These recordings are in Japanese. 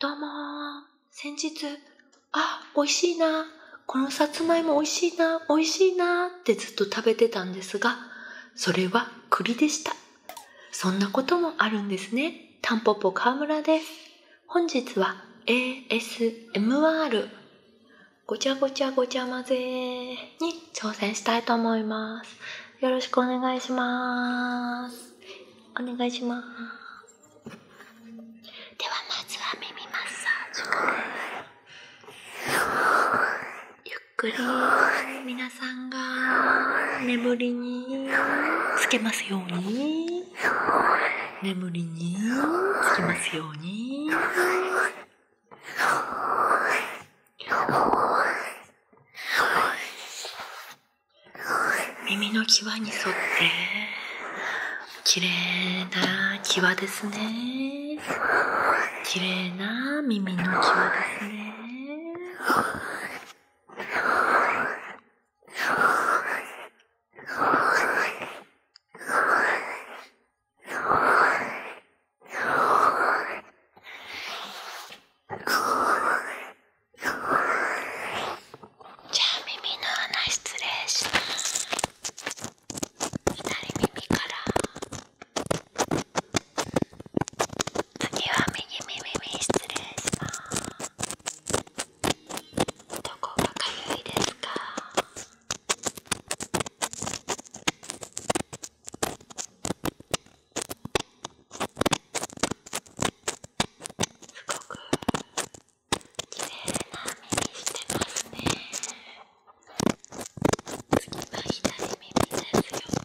どうも先日、あ、美味しいな、このさつまいも美味しいな、美味しいなってずっと食べてたんですが、それは栗でした。そんなこともあるんですね。タンポポ川村です。本日は ASMR ごちゃごちゃごちゃ混ぜに挑戦したいと思います。よろしくお願いします。お願いします。ではまずは耳マッサージからゆっくりみなさんが眠りにつけますように眠りにつけますようによし。耳の際に沿って綺麗な際ですね綺麗な耳の際ですねじゃあ耳の穴失礼します左耳から次は右耳に失礼しますどこがかゆいですかすごく綺麗な目にしてますね次は左耳ですよ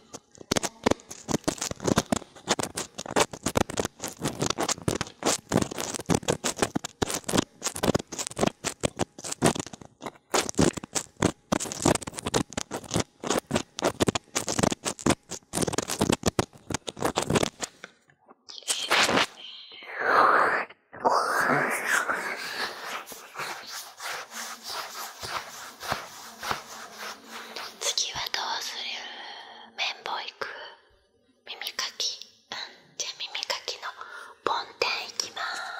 次はどうする綿棒いく耳かきうんじゃあ耳かきのボンテンいきます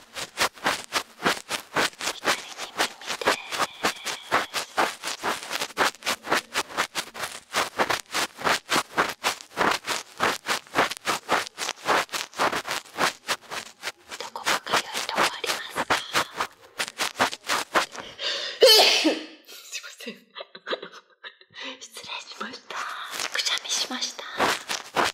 に耳で。どこかか良いとこありますかすいません失礼しましたくしゃみしました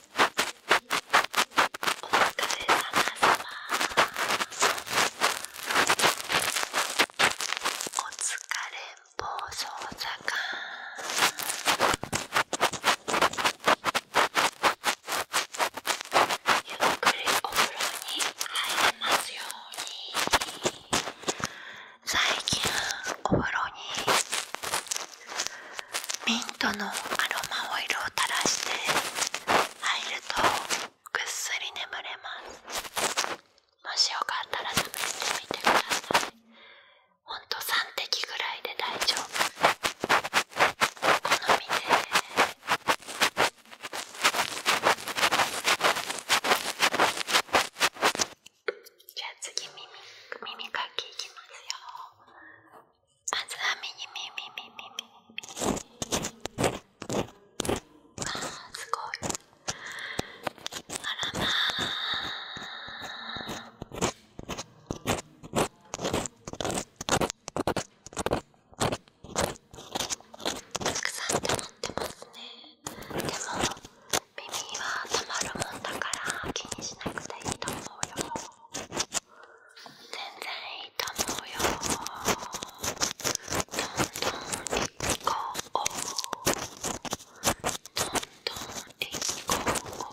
おお疲疲れれさま。暴走坂ゆっくりお風呂に入れますように最近お風呂にミントのアロマオイルを垂らして入るとぐっすり眠れますもしよかったら試してみてくださいほんと3滴ぐらいで大丈夫お好みでじゃあ次耳かきいきますよ。ずはみにみみあすごいあらまあたくさん溜まってますねでも耳はたまるもんだから気にしなくていいと思うよ全然いいとうよどんどんいこうどんどんいこう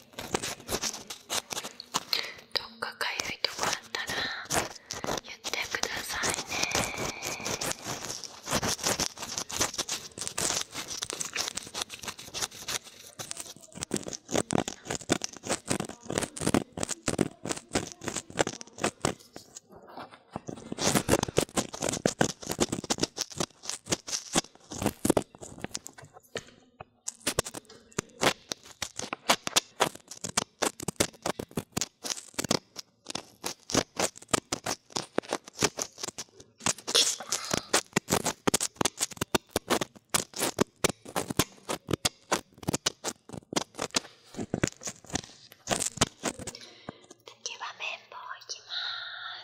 どっかかゆいとこあったら言ってくださいね次は綿棒いきま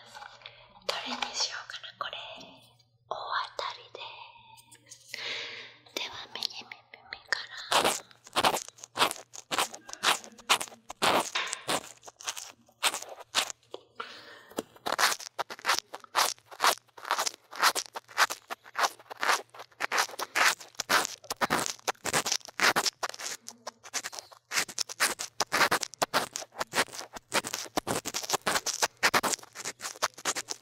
すどれにしようかなこれ大当たりですではめ右耳から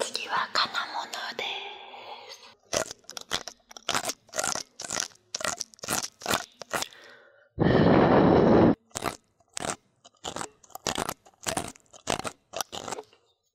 次は金物です。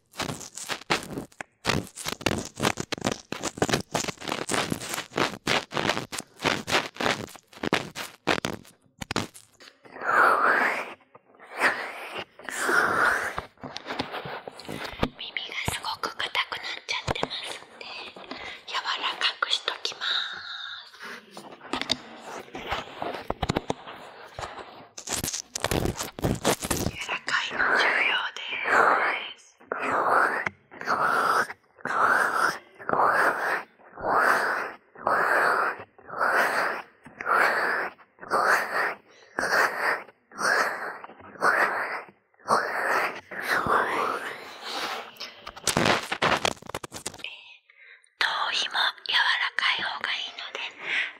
耳がすごく硬くなっちゃってますんで柔らかくしときます。らかいの重要です。頭皮も柔らかい方がいいので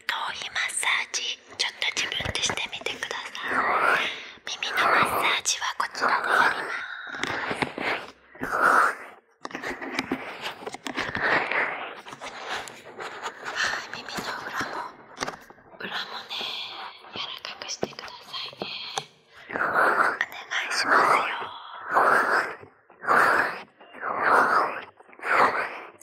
頭皮マッサージちょっと自分でしてみてください耳のマッサージはこちらでやります耳の裏も裏もね柔らかくしてくださいねお願いしますよ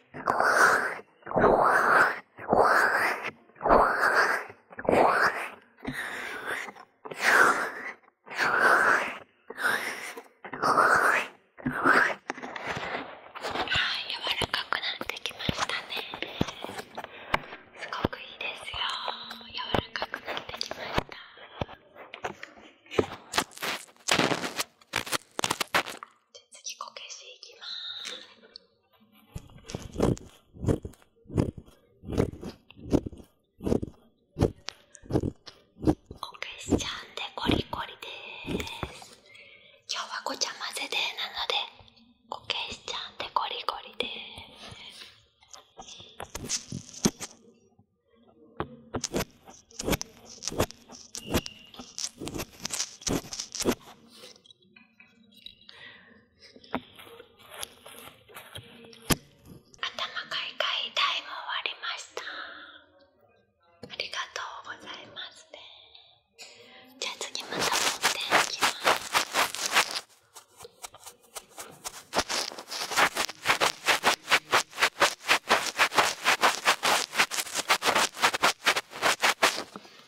らかくなってきましたねすごくいいですよ柔らかくなってきましたじゃあ次こけしていきますこけしちゃんでコリコリです今日はごちゃ混ぜでなのでこけしちゃんでコリコリです頭かいかい終わりましたありがとうございますねじゃあ次また持っていきますあ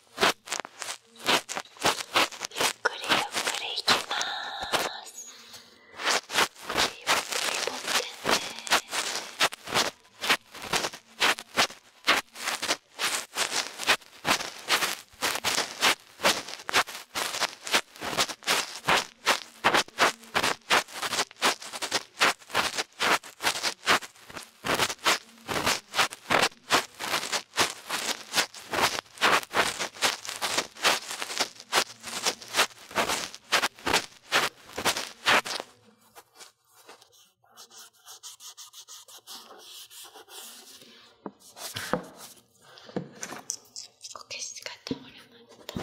ゆっくりゆっくりいきますゆっくり持ってねゆこけしが倒れました。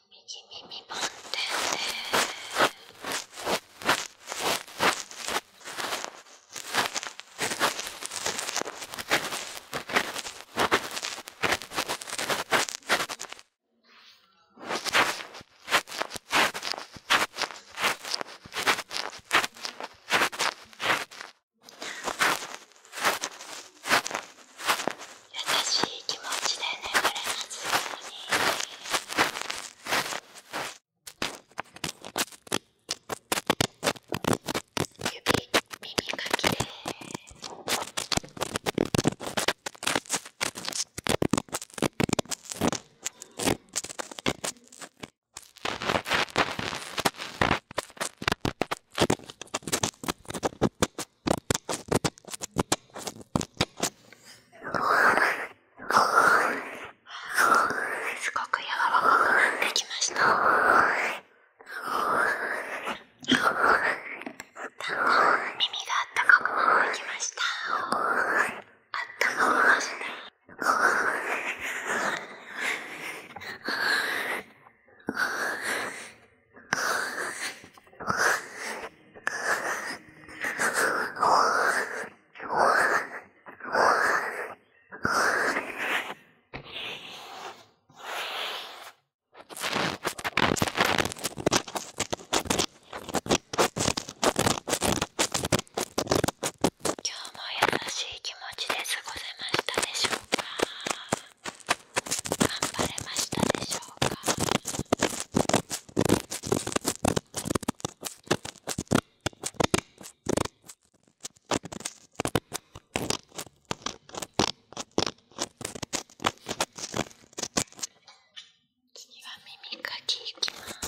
右耳満点しい気持ちで眠れますように。指、耳かきで耳すごく柔らかくなってきましたっだんだん耳があったかくなってきましたあったかみますね今日も優しい気持ちで過ごせましたでしょうか頑張れましたでしょうか次は耳かきいきます。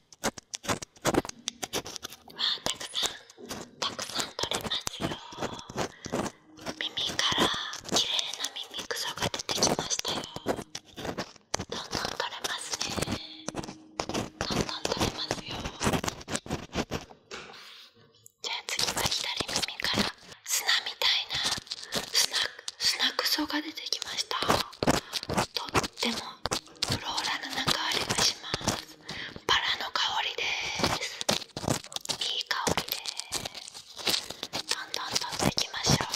わあ、たくさんたくさん取れますよ耳から綺麗な耳くそが出てきましたよどんどん取れますねどんどん取れますよじゃあ次は左耳から砂みたいな砂砂クそが出てきましたとってもフローラルなか香りがしますバラの香りですいい香りですどんどん取んでいきましょう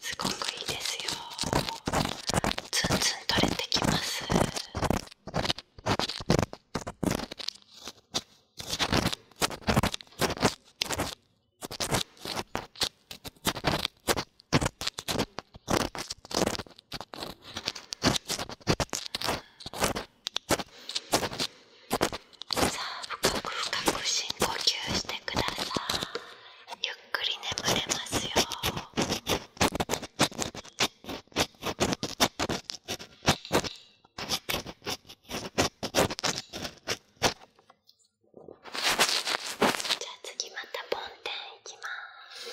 すごくいいですよツンツン取れてきますさあ、深く深く深呼吸してくださいゆっくり眠れますよじゃあ次また梵天いきます。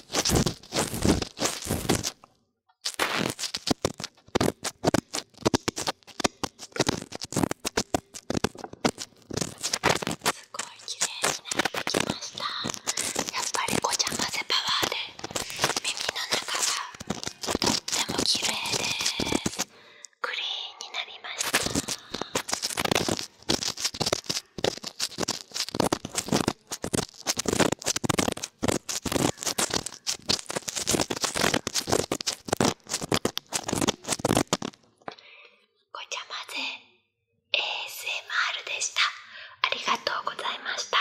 すごい綺麗になってきましたやっぱりごちゃ混ぜパワーで耳の中がとっても綺麗ですクリーンになりましたごちゃまぜ ASMR でしたありがとうございました